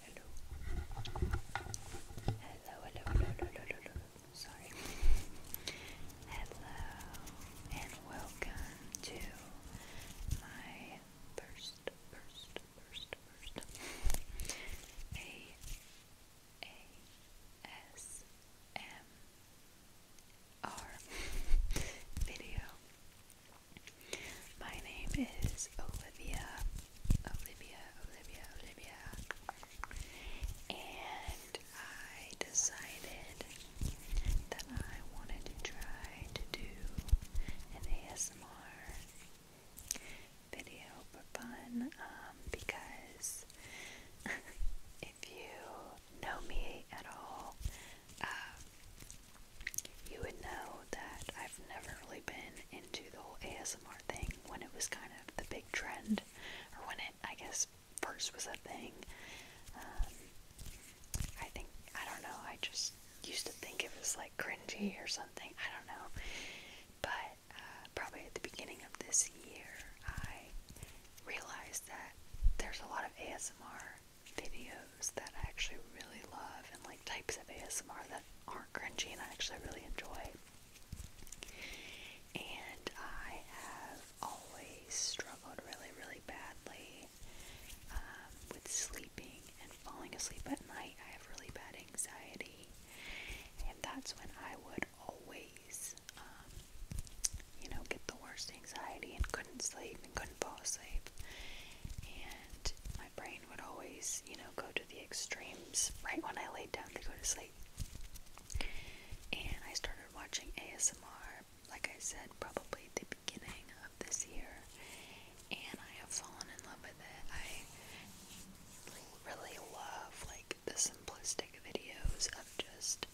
Hello. Hello, hello, hello, hello, hello, Sorry. Hello, and welcome to my first, first, first, first A A S M R video. My name is Olivia Olivia, Olivia, Olivia. And I decided that I wanted to try to do an ASMR video for fun um, because if you know me at all, um, you would know that I've never really been into the whole ASMR thing when it was kind of the big trend, or when it, I guess, first was a thing. Um, I think, I don't know, I just used to think it was like cringy or something, I don't know. But uh, probably at the beginning of this year, I realized that there's a lot of ASMR videos that I actually really love and like types of ASMR aren't crunchy and I actually really enjoy. And I have always struggled really, really badly um, with sleeping and falling asleep at night. I have really bad anxiety, and that's when I would always, um, you know, get the worst anxiety and couldn't sleep and couldn't fall asleep. And my brain brain would always, you know, go to the extremes right when I laid down to go to sleep. And I started watching ASMR, like I said, probably the beginning of this year. And I have fallen in love with it. I really love like the simplistic videos of just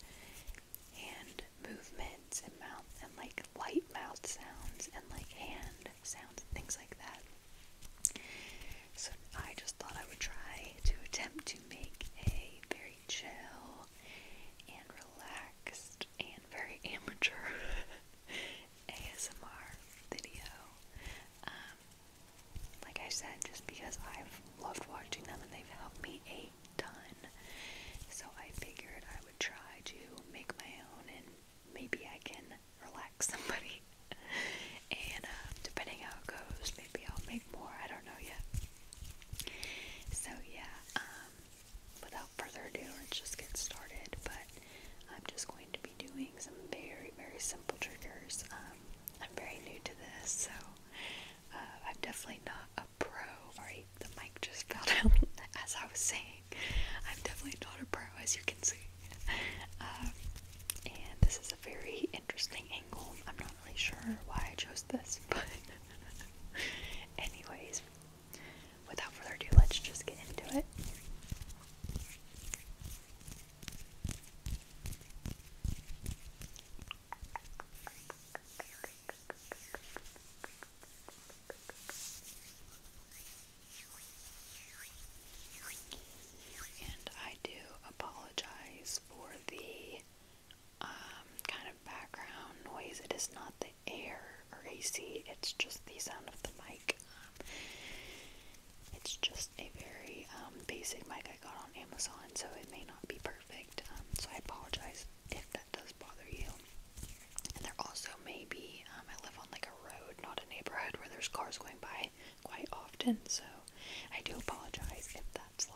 hand movements and mouth and like light mouth sounds and like hand sounds and things like that. So I just thought I would try to attempt to make a very chill and relaxed and very amateur ASMR video. Um, like I said, just because I've loved watching them and they've helped me a ton. So I figured I would try to make my own and maybe I can relax somebody. and uh, depending how it goes, maybe I'll make more. I don't know yet. So yeah, um, without further ado, let's just get started. But I'm just going to be doing some very, very simple triggers. Um, I'm very new to this, so uh, I'm definitely not a pro. Alright, the mic just fell down as I was saying. I'm definitely not a pro as you can see. Um, and this is a very interesting angle. I'm not really sure why I chose this, but anyways, without further ado, let's just get into it. And I do apologize for the um, kind of background noise. It is not the air or AC, it's just the sound of the mic. it's just a very um, basic mic I got on Amazon, so it may not be perfect. Um, so I apologize if that does bother you. And there also may be, I live on like a road, not a neighborhood where there's cars going by quite often, so I do apologize if that's loud.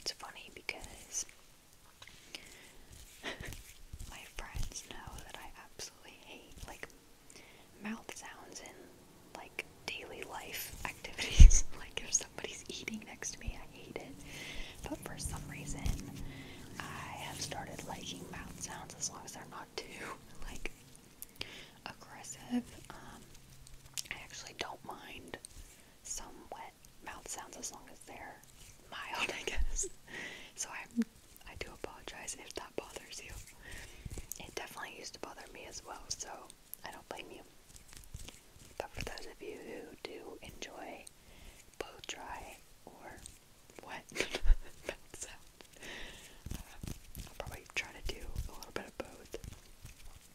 It's funny because my friends know that I absolutely hate like mouth sounds in like daily life activities. like if somebody's eating next to me, I hate it. But for some reason, I have started liking mouth sounds as long as they're not too like aggressive. Um, I actually don't mind some wet mouth sounds as long as they're mild, I guess. so i I do apologize if that bothers you. It definitely used to bother me as well, so I don't blame you. But for those of you who do enjoy both dry or wet mouth uh, I'll probably try to do a little bit of both.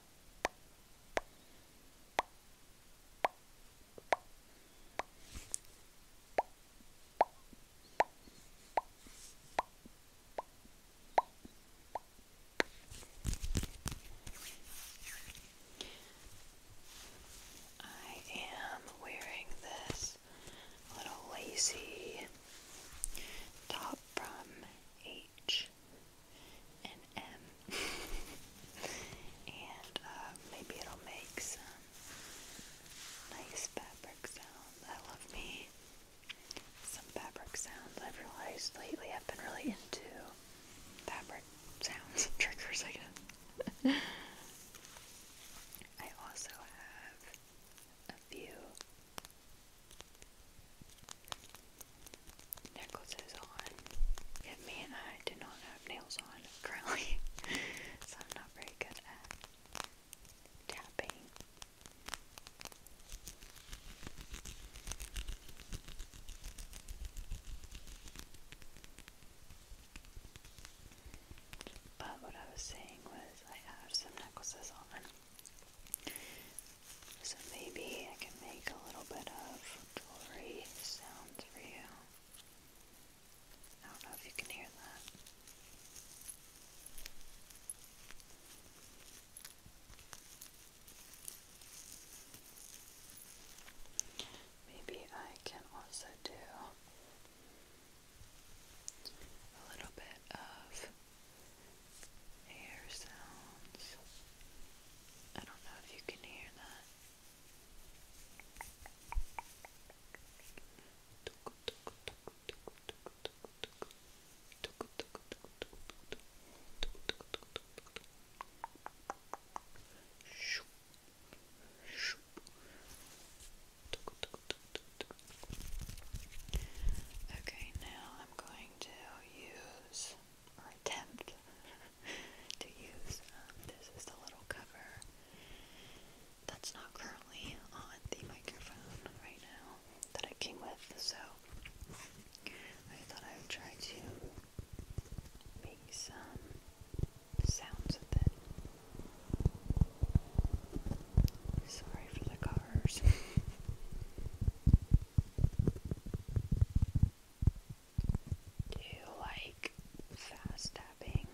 I am wearing this little lacy top from H H and M. Uh, and maybe it'll make some nice fabric sounds. I love me some fabric sounds. I've realized lately I've been really into fabric sounds and triggers, I guess. I also have a few necklaces on. Yeah, me and I do not have nails on currently, so I'm not very good at tapping. But what I was saying was, I have some necklaces on, so maybe I can make a little bit of jewelry sounds for you. I don't know if you can hear that. Maybe I can also do a little bit of air sounds. I don't know if you can hear that. Okay, now I'm going to use or attempt to use. Um, this is the little cover that's not currently on the microphone right now that it came with, so I thought I would try to make some sounds with it. Sorry for the cars. Do you like fast tapping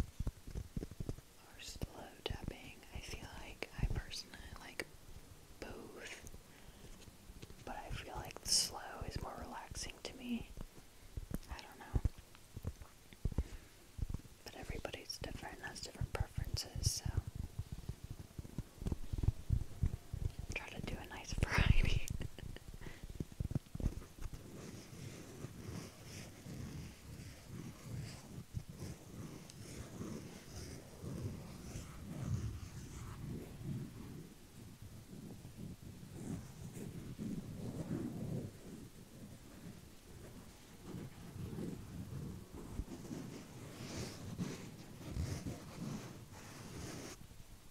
or slow tapping? I feel like I personally like both, but I feel like slow is more relaxing to me. I don't know. But everybody's different, has different preferences, so. Try to do a nice variety. I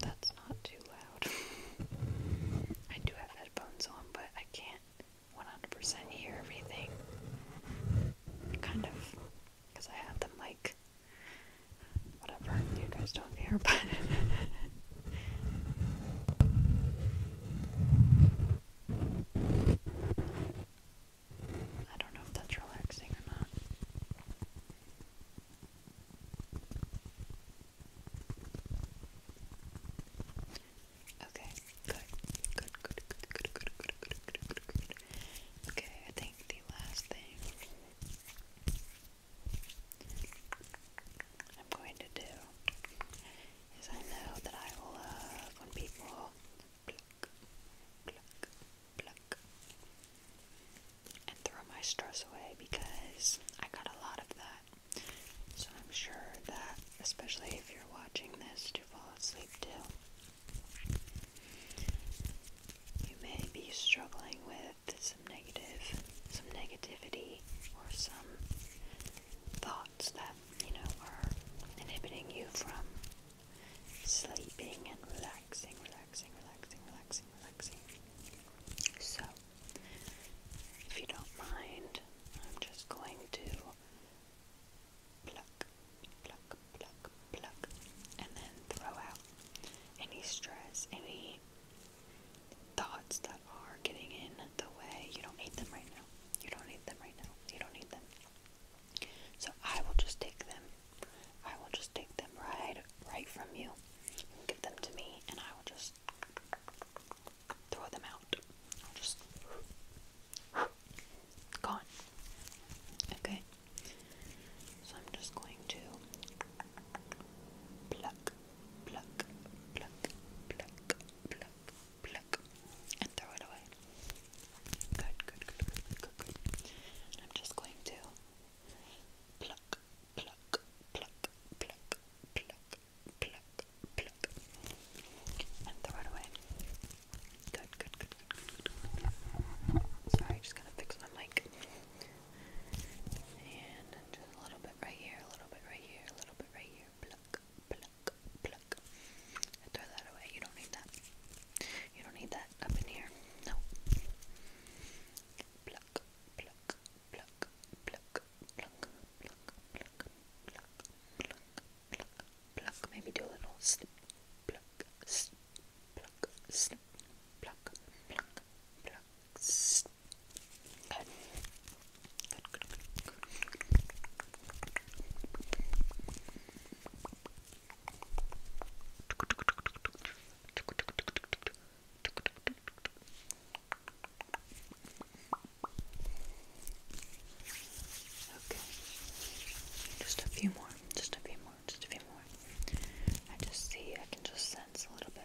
that's not too loud. I do have headphones on, but I can't 100% hear everything. Kind of, because I have the mic Whatever, you guys don't care, but I don't know if that's relaxing or not. Okay, good, good, good, good, good, good, good, good, good. Okay, I think the last thing I'm going to do is I know that I love when people pluck, pluck, pluck, and throw my stress away because I got a lot of that. So I'm sure that, especially if you're watching this to fall asleep too, you may be struggling with some negative, some negativity, or some thoughts that, you know, are inhibiting you from sleeping and relaxing, relaxing, relaxing, relaxing, relaxing. So, if you don't mind, I'm just going to pluck, pluck, pluck, pluck, and then throw out any stress, any thoughts that are getting in the way. You don't need them right now. You don't need them right now. You don't need them. So I will just take them. I will just take them right right from you. You will give them to me and I will just throw them out. I'll just gone. Okay. So I'm just going to pluck pluck, pluck, pluck, pluck, pluck, and throw it away. Good, good, good, good, good, I'm just going to pluck, pluck, pluck, pluck, pluck, pluck, pluck, and throw it away. good, good, good, good, good. Sorry, just gonna fix my mic. And just a little bit right here, a little bit right here, a little bit right here. Pluck, pluck, pluck. And throw that away. You don't need that. You don't need that up in here. No. Pluck, pluck, pluck, pluck, pluck, pluck, pluck, pluck, pluck, pluck, pluck. Maybe do a little snip, pluck, snip, pluck, snip, pluck, pluck, pluck, Okay. Just a few more. Just a few more. Just a few more. I just see I can just sense a little bit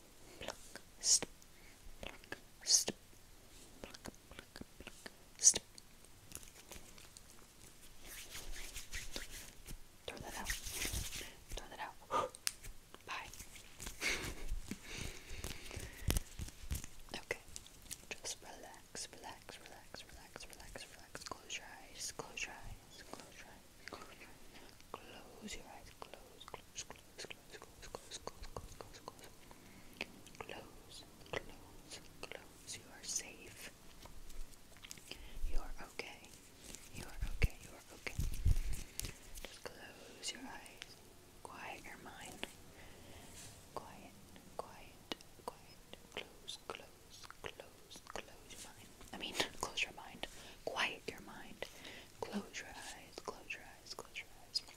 pluck, stip, pluck, stip, pluck, pluck, pluck, stip. Throw that out. Throw that out. Bye. okay. Just relax, relax, relax, relax, relax, relax. Close your eyes. Close your eyes. Close your eyes. Close your eyes. Close your eyes. Close, close, close, close, close, close, close, close, close, close. Close, close, You are safe. You are okay. You are okay. You are okay. Just close your eyes. Quiet your mind. Quiet, quiet, quiet. Close, close, close, close your mind. I mean, close your mind. Quiet your mind. Close your eyes. Close your eyes. Close your eyes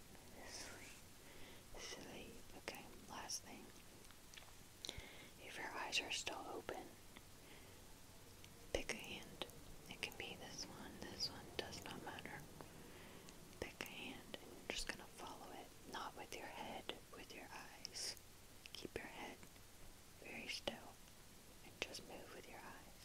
sleep, sleep. Okay, last thing. If your eyes are still open, pick a hand. It can be this one, this one, does not matter. Pick a hand and just gonna follow it, not with your head, with your eyes. Keep your head very still and just move with your eyes.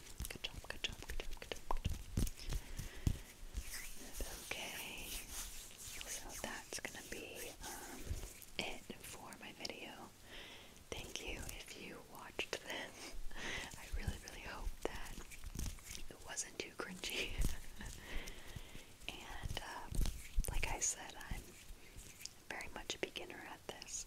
Okay, so that's gonna be um, it for my video. Thank you if you watched this. I really, really hope that it wasn't too cringy. and uh, like I said, I'm very much a beginner at this,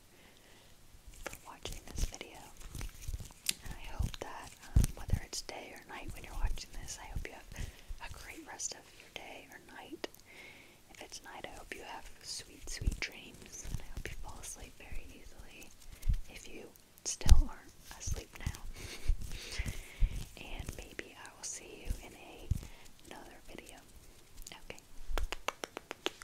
for watching this video. And I hope that um, whether it's day or night when you're watching this, I hope you have a great rest of your day or night. If it's night, I hope you have sweet, sweet dreams. And I hope you fall asleep very easily if you still aren't asleep now. and maybe I will see you in a, another video. Okay.